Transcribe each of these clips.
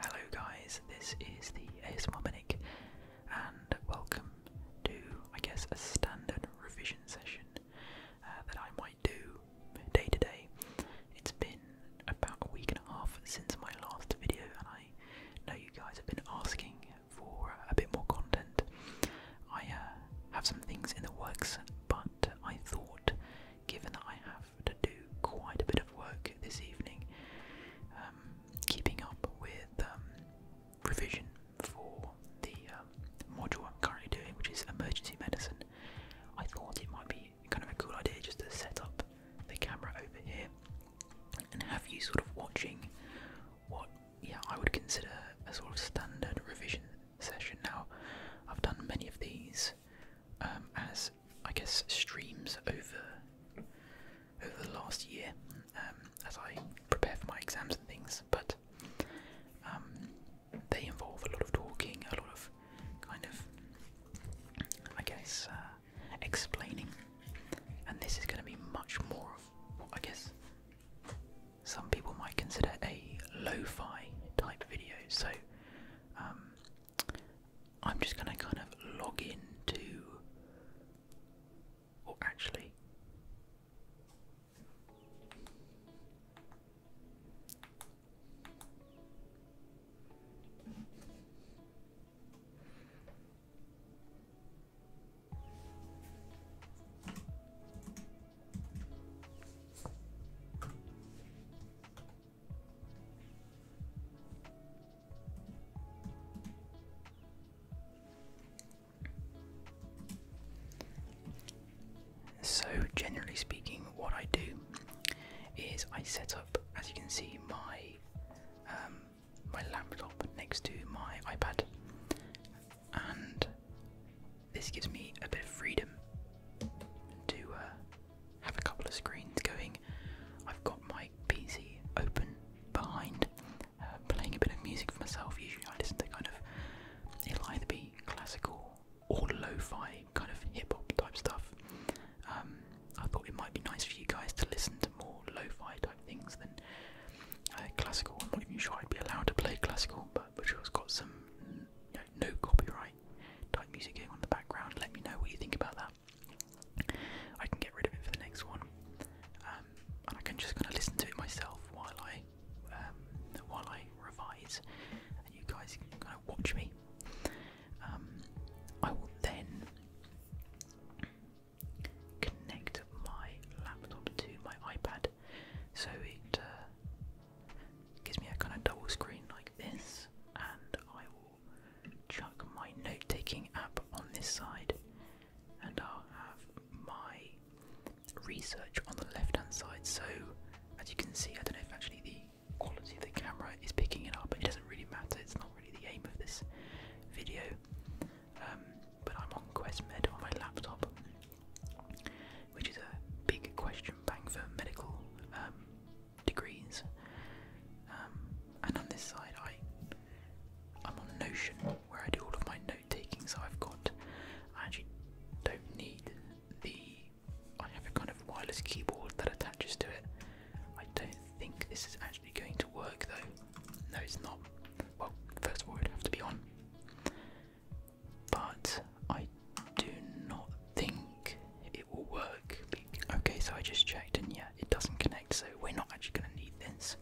Hello, guys, this is the ASMR Manic, and welcome to, I guess, a standard revision session uh, that I might do day to day. It's been about a week and a half since my last video, and I know you guys have been asking for a bit more content. I uh, have some things in the works, but I thought, given that I have to do quite a bit of work this evening, um, keeping up with um, revision for the um, module I'm currently doing, which is emergency medicine, I thought it might be kind of a cool idea just to set up the camera over here and have you sort of watching what yeah I would consider a sort of standard revision session. Now I've done many of these um, as I guess streams over over the last year um, as I prepare for my exams and things, but um, they involve a lot of talking, a lot of kind of, I guess, uh, explaining. And this is going to be much more of what I guess some people might consider a lo fi type video. So um, I'm just going to kind of log in to. Or actually. So, generally speaking, what I do is I set up, as you can see, my um, my laptop next to my iPad, and this gives me a bit of freedom to uh, have a couple of screens going. I've got my PC open behind, uh, playing a bit of music for myself. Usually, I listen to kind of it'll either be classical all lo-fi kind of hip-hop type stuff. Um, I thought it might be nice for you guys to listen to more lo-fi type things than uh, classical. I'm not even sure I'd be allowed to play classical, but Visual's got some no copyright type music going on the background. Let me know what you think about that. I can get rid of it for the next one, um, and I can just kind of listen to it myself while I um, while I revise, and you guys can kind of watch me. Um, I will then connect my laptop to my iPad so it uh, gives me a kind of double screen like this, and I will chuck my note taking app on this side, and I'll have my research on the left hand side. So, as you can see, I don't know if actually the quality of the camera is picking it up. It doesn't really matter, it's not really the aim of this video. Um, but I'm on Quest on my laptop, which is a big question bank for medical um, degrees. Um, and on this side, I I'm on Notion where I do all of my note taking. I've got I actually don't need the I have a kind of wireless keyboard that attaches to it. I don't think this is actually going to work though. No, it's not. Well, first of all, it have to be on. But I do not think it will work. Okay, so I just checked and yeah, it doesn't connect, so we're not actually going to need this.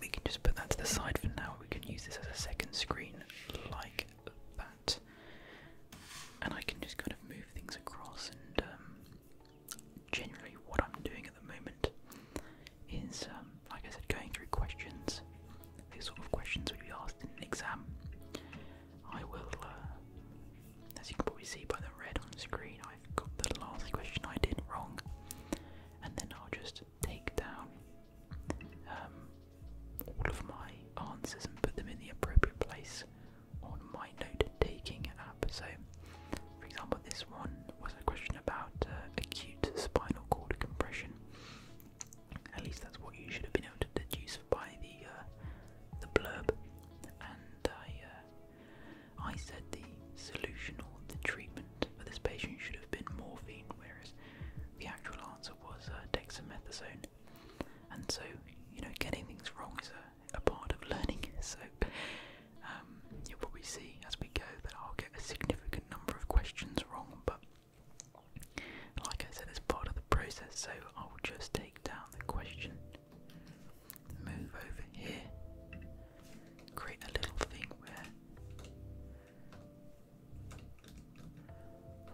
We can just put that to the side for now. We can use this as a second screen like that. And I can just kind of move things across, and um, generally, what I'm doing at the moment is, um, like I said, going through questions. These sort of questions would be asked in an exam. I will, uh, as you can probably see by the red on the screen, I've got the last question I did wrong, and then I'll just take down um, all of my answers and put them in the appropriate place on my note taking app. So, for example, this one was a question about uh, acute spinal cord compression. At least that's what you should have been able to deduce by the uh, the blurb. And I, uh, I said the solution or the treatment for this patient should have been morphine, whereas the actual answer was uh, dexamethasone, and so you know getting things wrong is a, part of learning. So um, you'll probably see as we go that I'll get a significant number of questions wrong, but like I said, it's part of the process. So I'll just take down the question, move over here, create a little thing where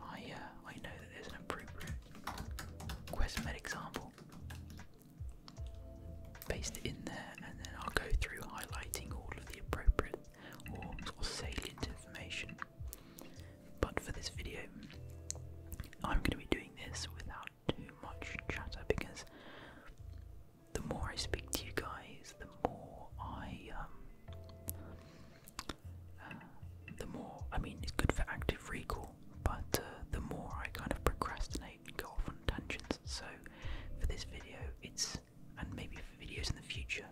I uh, I know that there's an appropriate Questmed example. Paste it in there, and then I'll go through highlighting all of the appropriate or salient information. But for this video, I'm going to be doing this without too much chatter because the more I speak to you guys, the more I um, the more I mean, it's good for active recall, but uh, the more I kind of procrastinate and go off on tangents. So for this video, it's and maybe for videos in the future,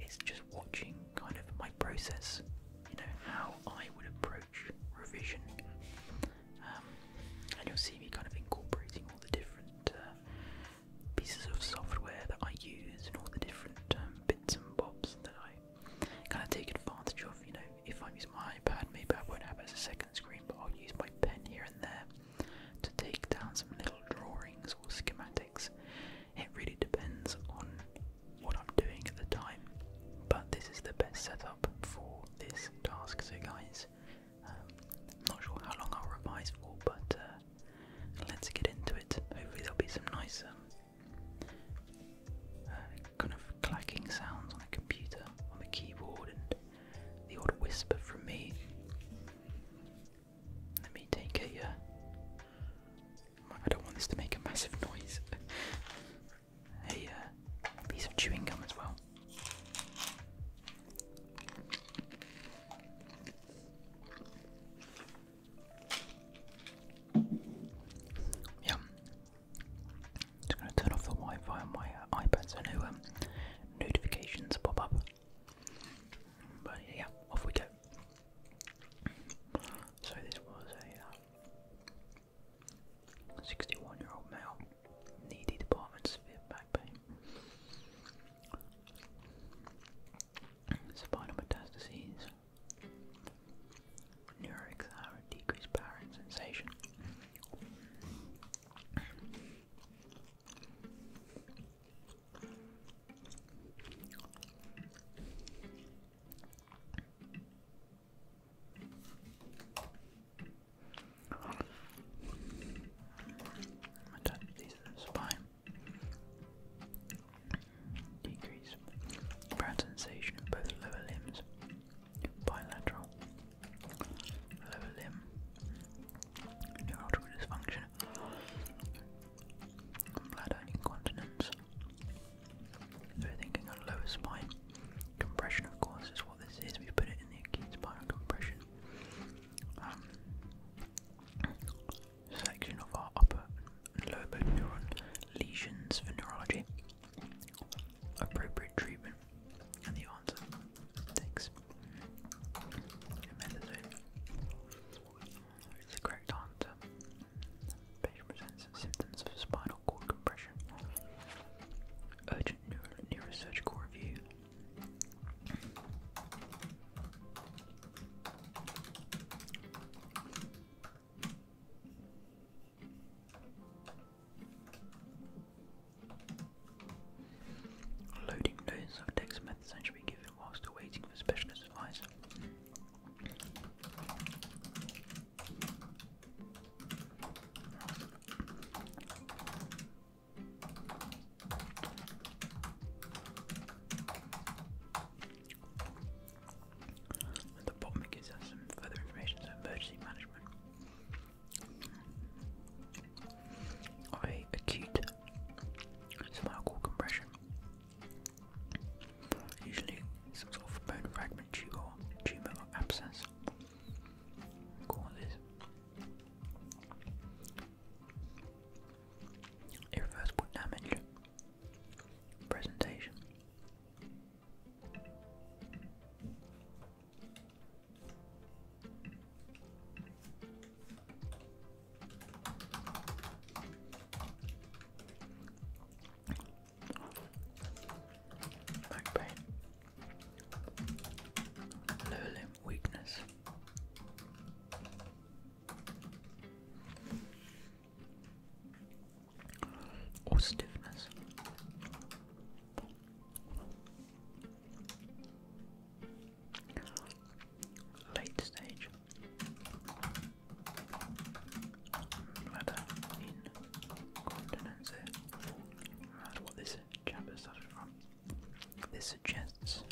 it's just watching kind of my process. You know how I would approach revision, um, and you'll see me kind of incorporating all the different uh, pieces of software that I use and all the different um, bits and bobs that I kind of take advantage of. You know, if I'm using my iPad, maybe I won't have it as a second screen, but I'll use my pen here and there to take down some little drawings or schematics. It really depends on what I'm doing at the time, but this is the best setup for this task. So, guys, I'm um, not sure how long I'll revise for, but uh, let's get into it. Hopefully, there'll be some nice um, uh, kind of clacking sounds on the computer, on the keyboard, and the odd whisper from me. Let me take a. Uh, don't want this to make a massive noise. a uh, piece of chewing gum as well. Yeah. Just gonna turn off the Wi-Fi on my uh, iPad so no um, notifications pop up. But yeah, off we go. So this was a 61-year-old uh, male, needy department, severe back pain spinal metastases, neuroexile, decreased power and sensation. Metastases of the spine. Decrease proud sensation of both lower limbs. Bilateral. Lower limb. Neurological dysfunction. Bladder incontinence. So thinking on lower spine. Compression of course is what this is. We put it in the acute spinal compression. Um, section of our upper lower motor neuron lesions for neurology. Appropriate treatment and the answer. Thanks. It's the correct answer. patient presents symptoms of spinal cord compression. Urgent neurosurgical review. Loading doses of dexamethasone should be given whilst awaiting for specialist advice. At the bottom gives us some further information, so emergency management. I acute spinal compression. Usually some sort of bone fragment tube tumour or abscess causes Irreversible damage. Presentation. Back pain. Lowly weakness. Or stiffness. Late stage matter incontinence. That's what this chapter started from. This suggests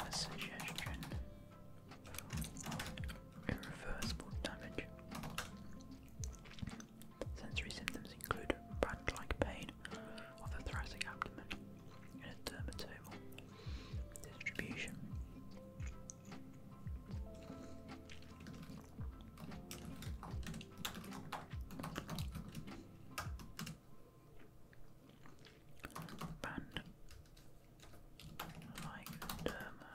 a suggestion of irreversible damage. Sensory symptoms include brand-like pain of the thoracic abdomen and a dermatoma distribution. Band like derma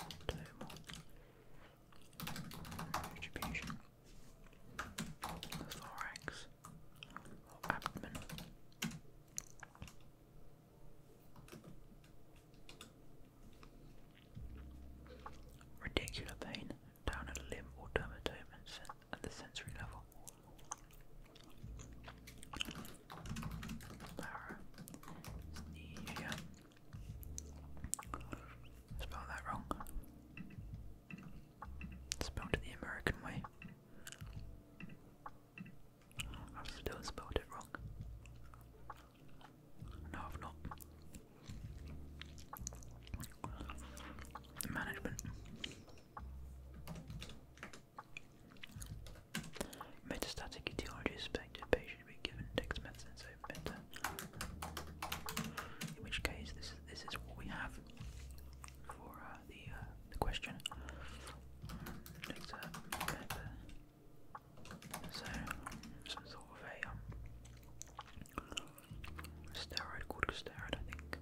distribution thorax or abdomen. Radicular pain down a limb or dermatome at the sensory level Paresthesia. Spelled that wrong. Spell it the American way. i still spelled it wrong. No, I've not. Management. Metastatic etiology is suspected. Patient be given dexamethasone so In which case, this is this is what we have for uh, the uh, the question. Dexamethasone, uh, so, some a um, steroid, corticosteroid, I think.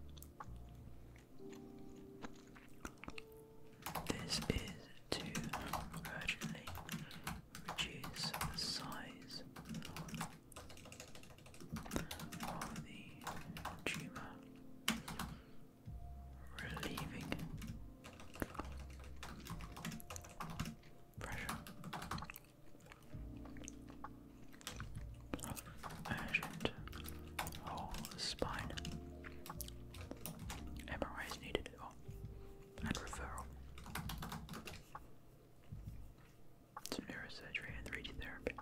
This is to urgently reduce the size of the tumour, relieving pressure urgent whole spine. MRI is needed. Oh, and referral. Some neurosurgery and 3 therapy.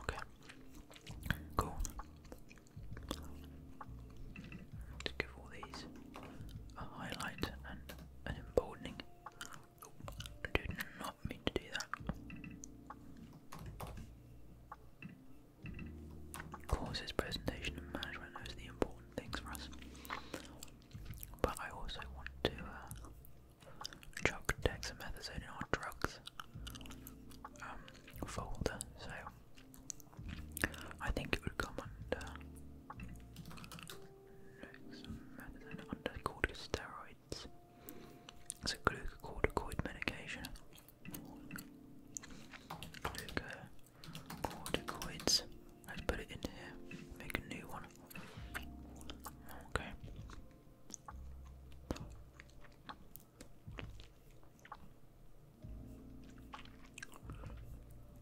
Okay. Cool. let give all these a highlight and an emboldening. I did not mean to do that. Courses, presentation, and management, those the important things for us. But I also want to uh, chuck dexamethasone in our drugs um, folder, so I think it would come under. Next under corticosteroid it's a glucocorticoid medication. Glucocorticoids. Let's put it in here. Make a new one. Okay.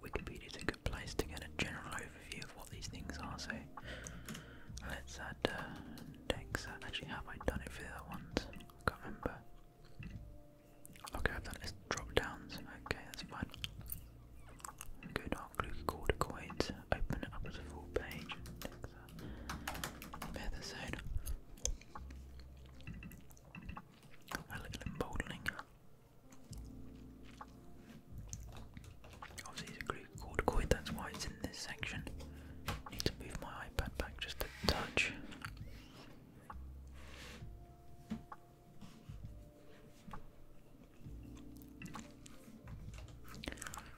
Wikipedia is a good place to get a general overview what these things are, so let's add uh, uh Actually, have I done it for the one? I can't remember. Okay, i drop downs. Okay, that's fine. Go our glue coins, open it up as a full page. Bear uh, A little emboldening. Obviously, it's a corticoid, that's why it's in this section. need to move my iPad back just a touch.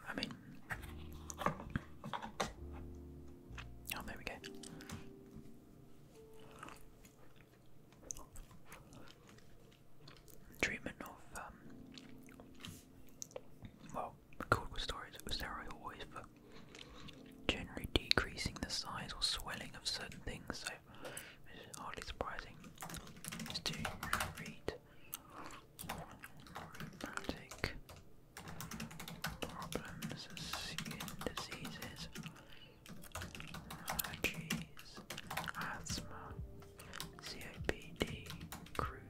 I mean, oh, there we go treatment of, um, well, um, stories cortical steroids, steroid always for generally decreasing the size or swelling of certain things, so it's hardly surprising just to read rheumatic problems, skin diseases, allergies, asthma. COPD group.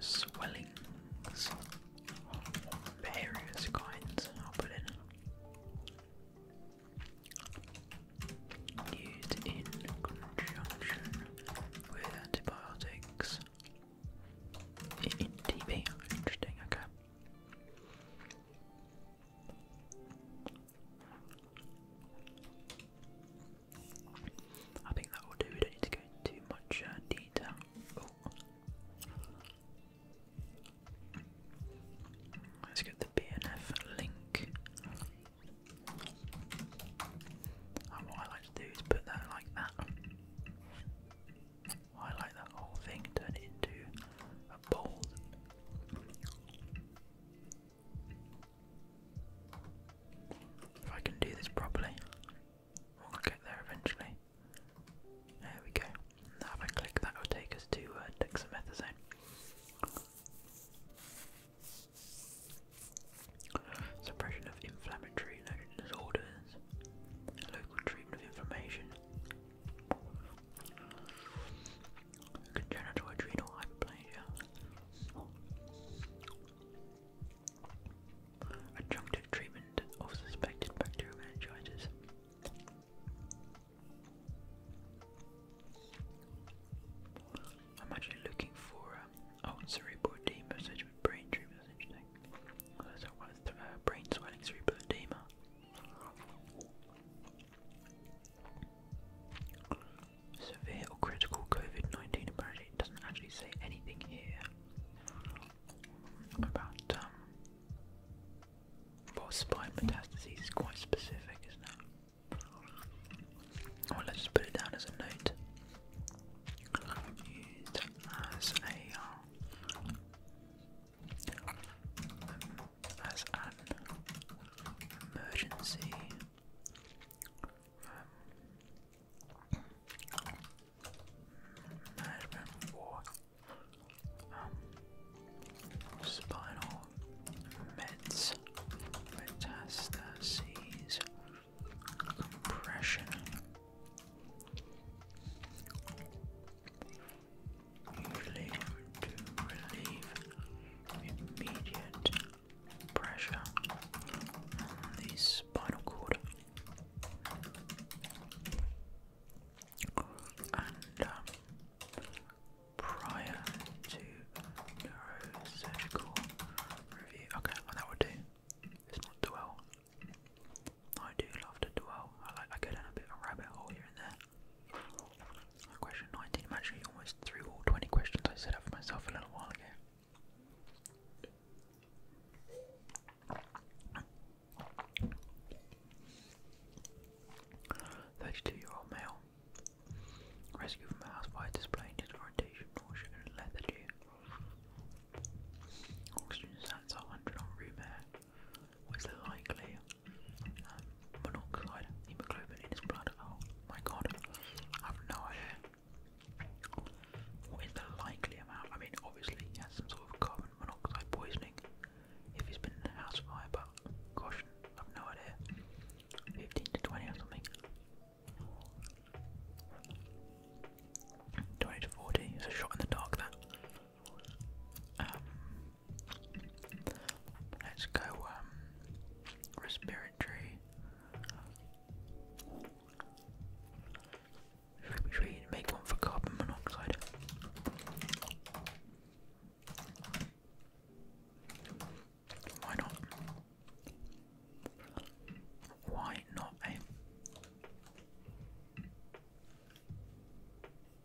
Swellings various kinds, I'll put in. Used in conjunction with antibiotics. interesting, okay. I think that will do. We don't need to go into too much uh, detail. Let's get the BNF link. And what I like to do is put that like that. Highlight that whole thing, turn it into a bold if I can do this properly, we'll get there eventually. There we go. Now if I click that will take us to uh, Suppression of inflammatory disorders. Local treatment of inflammation. Congenital adrenal hyperplasia. Adjunctive treatment of suspected bacterial I'm actually looking for um, oh, cerebral edema, such with brain tumor. interesting. So, what is the, uh, brain swelling, cerebral edema? Severe or critical COVID 19, apparently doesn't actually say anything here about um, well, spine metastases is quite specific, isn't it? Well, let's just put it down as a note as an emergency. Um, management for um, spinal meds, metastases, compression relieve to relieve immediate pressure on the spinal cord and prior to neurosurgical review. Okay, well that would do. It's not dwell. I do love to dwell. I like I go down a bit of rabbit hole here and there. Question 19. I'm actually almost through all 20 questions I set up for myself a little while ago. 32 year old male. Rescued from a house fire displaying disorientation or and lethargy. Oxygen sats at 100 on room air was likely um, monoxide, hemoglobin in his blood. Oh my god, I have no idea. What is the likely amount? I mean, obviously, he has some sort of carbon monoxide poisoning if he's been in a house fire, but gosh, I have no idea. 15 to 20 or something. 20 to 40 is a shot in the dark, that. Um, let's go um, respiratory. Should we, make one for carbon monoxide? Why not? Why not, eh?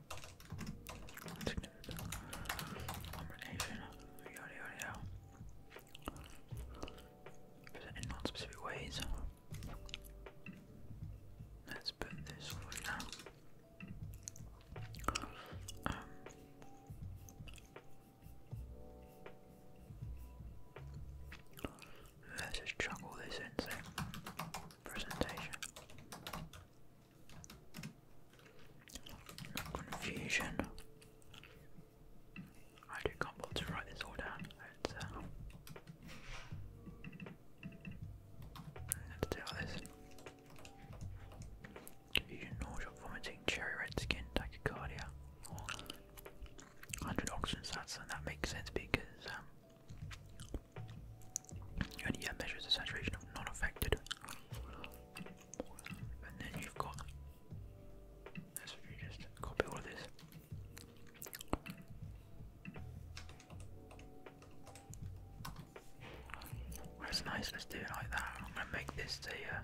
Combination, yada yada yada. Present in non-specific ways. Let's put this for now. Um, let's just chuck all this in, presentation. Confusion. I do can't bother to write this all down. Uh, let's, do all this. Confusion, nausea, vomiting, cherry red skin, tachycardia. 100 oxygen sats, and that makes sense because um, and yeah, measures the saturation of non affected. And then you've got. Let's just copy all of this. That's nice. Let's do it like that. I'm gonna make this a uh,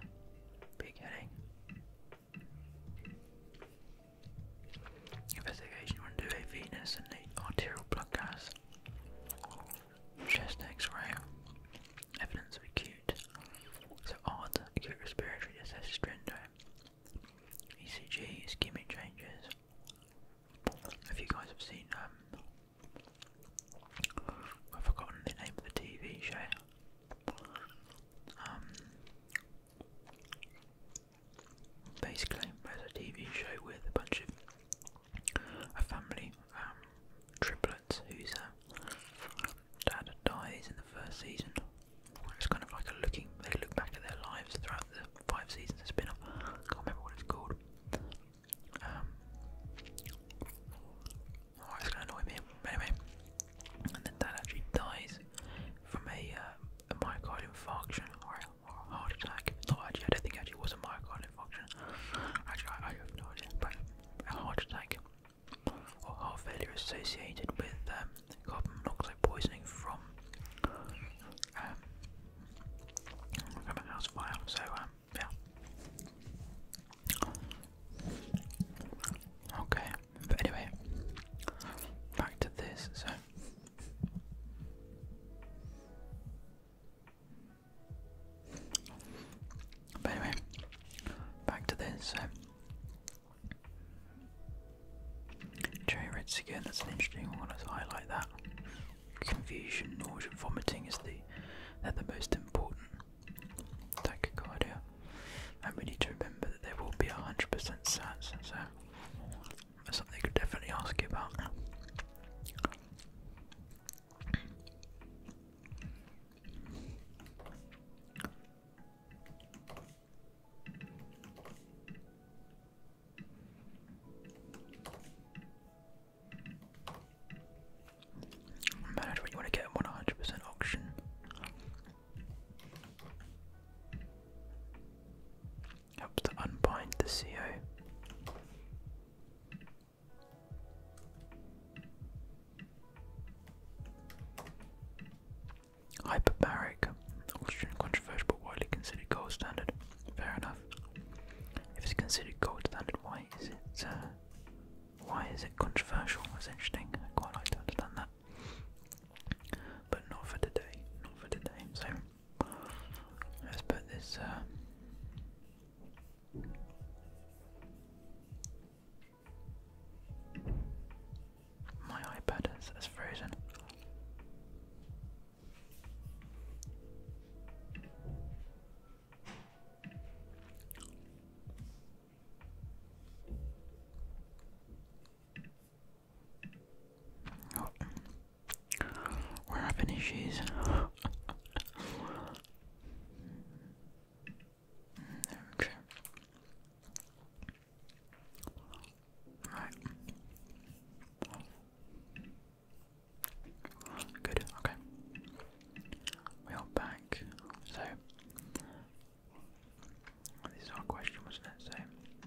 Investigation. We're going and the arterial blood Chest x-ray. Evidence of acute. So odd, acute respiratory distress syndrome. ECG, ischemic changes. If you guys have seen, um, I've forgotten the name of the TV show. Um, basically, there's a TV show with a bunch of a family, um, triplets, whose uh, dad dies in the first season. It's kind of like looking, they look back at their lives throughout the five seasons of spin off. I can't remember what it's called. Um, oh, it's going to annoy me. Anyway, and then dad actually dies from a, uh, a myocardial infarction or a heart attack. No, actually, I don't think actually it was a myocardial infarction. Actually, I, I have no idea. But a heart attack or heart failure associated with um, carbon monoxide poisoning from um, from a house fire. So um, yeah. Okay, but anyway, back to this. So, but anyway, back to this. So, cherry again. That's an interesting one. want to highlight that. Confusion, nausea, vomiting is the they the most important. Tachycardia, and we need to remember that there will be 100% sats. So that's something I could definitely ask you about. Manage when you want to get one hundred percent auction. Helps to unbind the CO. Hyperbaric, oxygen but widely considered gold standard. Fair enough. If it's considered gold standard, why is it uh, why is it controversial? That's interesting. I quite like to understand that. But not for today. Not for today. So Let's put this. Uh, my iPad is frozen. Where We're having issues. okay. Right. Good, okay. We are back. So this is question, wasn't it? So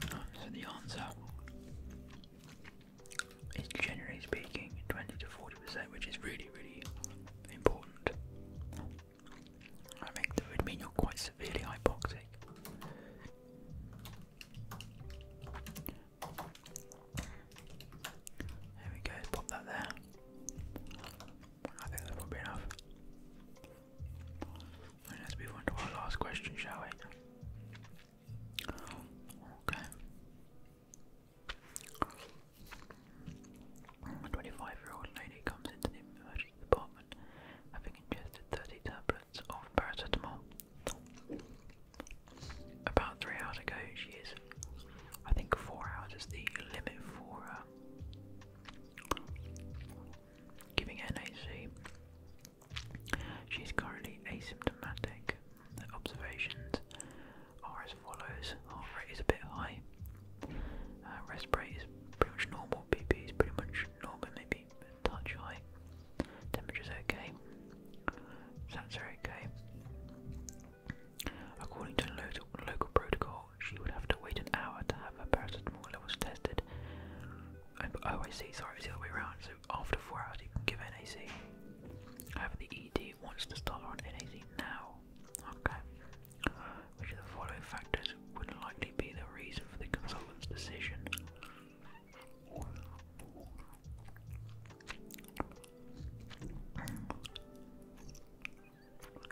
So the answer is generally speaking 20 to 40%, which is really, really important. I think that would mean you're quite severely hypoxic. There we go, pop that there. I think that's probably enough let's move on to our last question, shall we? Okay. 25 year old lady comes into the emergency department having ingested 30 tablets of paracetamol. About three hours ago, she is, I think, four hours is the limit for uh, giving NAC. She is currently asymptomatic. observations are as follows heart rate is a bit high, uh, rest rate is pretty much normal, BP is pretty much normal, maybe a touch high, temperature's okay, sats are okay. According to local, local protocol, she would have to wait an hour to have her paracetamol levels tested oh I see, sorry, it's the other way around. So after four hours you can give NAC. However, the ED wants to start on NAC now. Okay. Which of the following factors would likely be the reason for the consultant's decision?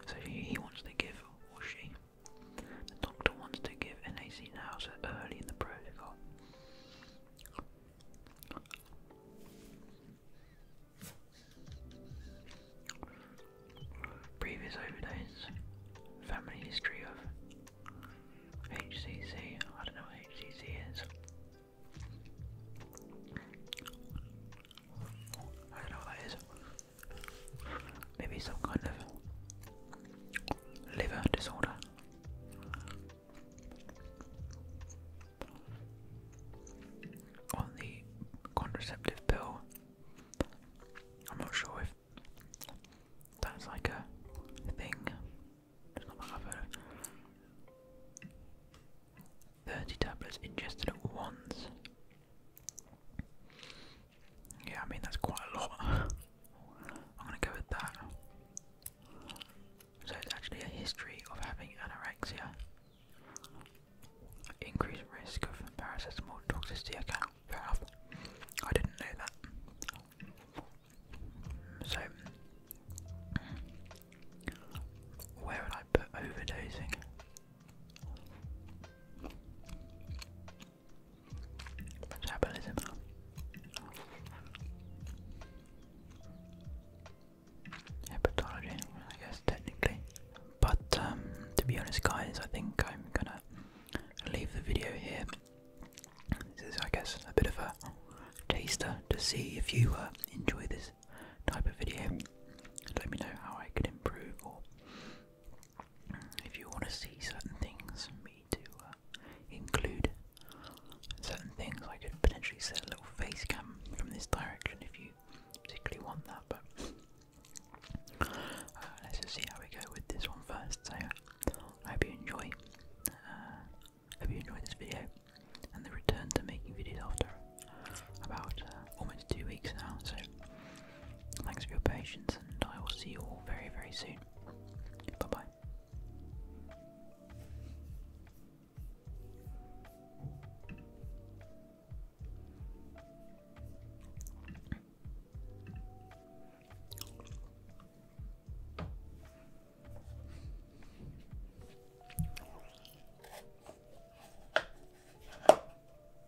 So he wants to give, or she, the doctor wants to give NAC now, so early in the protocol. Previous overdose, family history of HCC. I don't know what HCC is. I don't know what that is. Maybe some kind of liver disorder. On the contraceptive pill, I'm not sure if that's like a thing. It's not that have heard 30 tablets ingested at once. Yeah, I mean, that's quite a lot. I'm gonna go with that. So it's actually a history of having anorexia. Increased risk of parasitism or toxicity. I can't fair enough. I didn't know that. So, where would I put overdosing? Let's have a listen. Hepatology, I guess technically. But um, to be honest, guys, I think I'm gonna leave the video here. This is, I guess, a bit of a taster to see if you uh, enjoy this type of video. Let me know how I could improve or if you want to see certain things, me to uh, include certain things, I could potentially set a little face cam from this direction if you particularly want that. But uh, let's just see how we go with this one first. So I hope you enjoy. Uh, hope you enjoyed this video and the return to making videos after about almost two weeks now. So Thanks for your patience, and I will see you all very, very soon. Bye bye.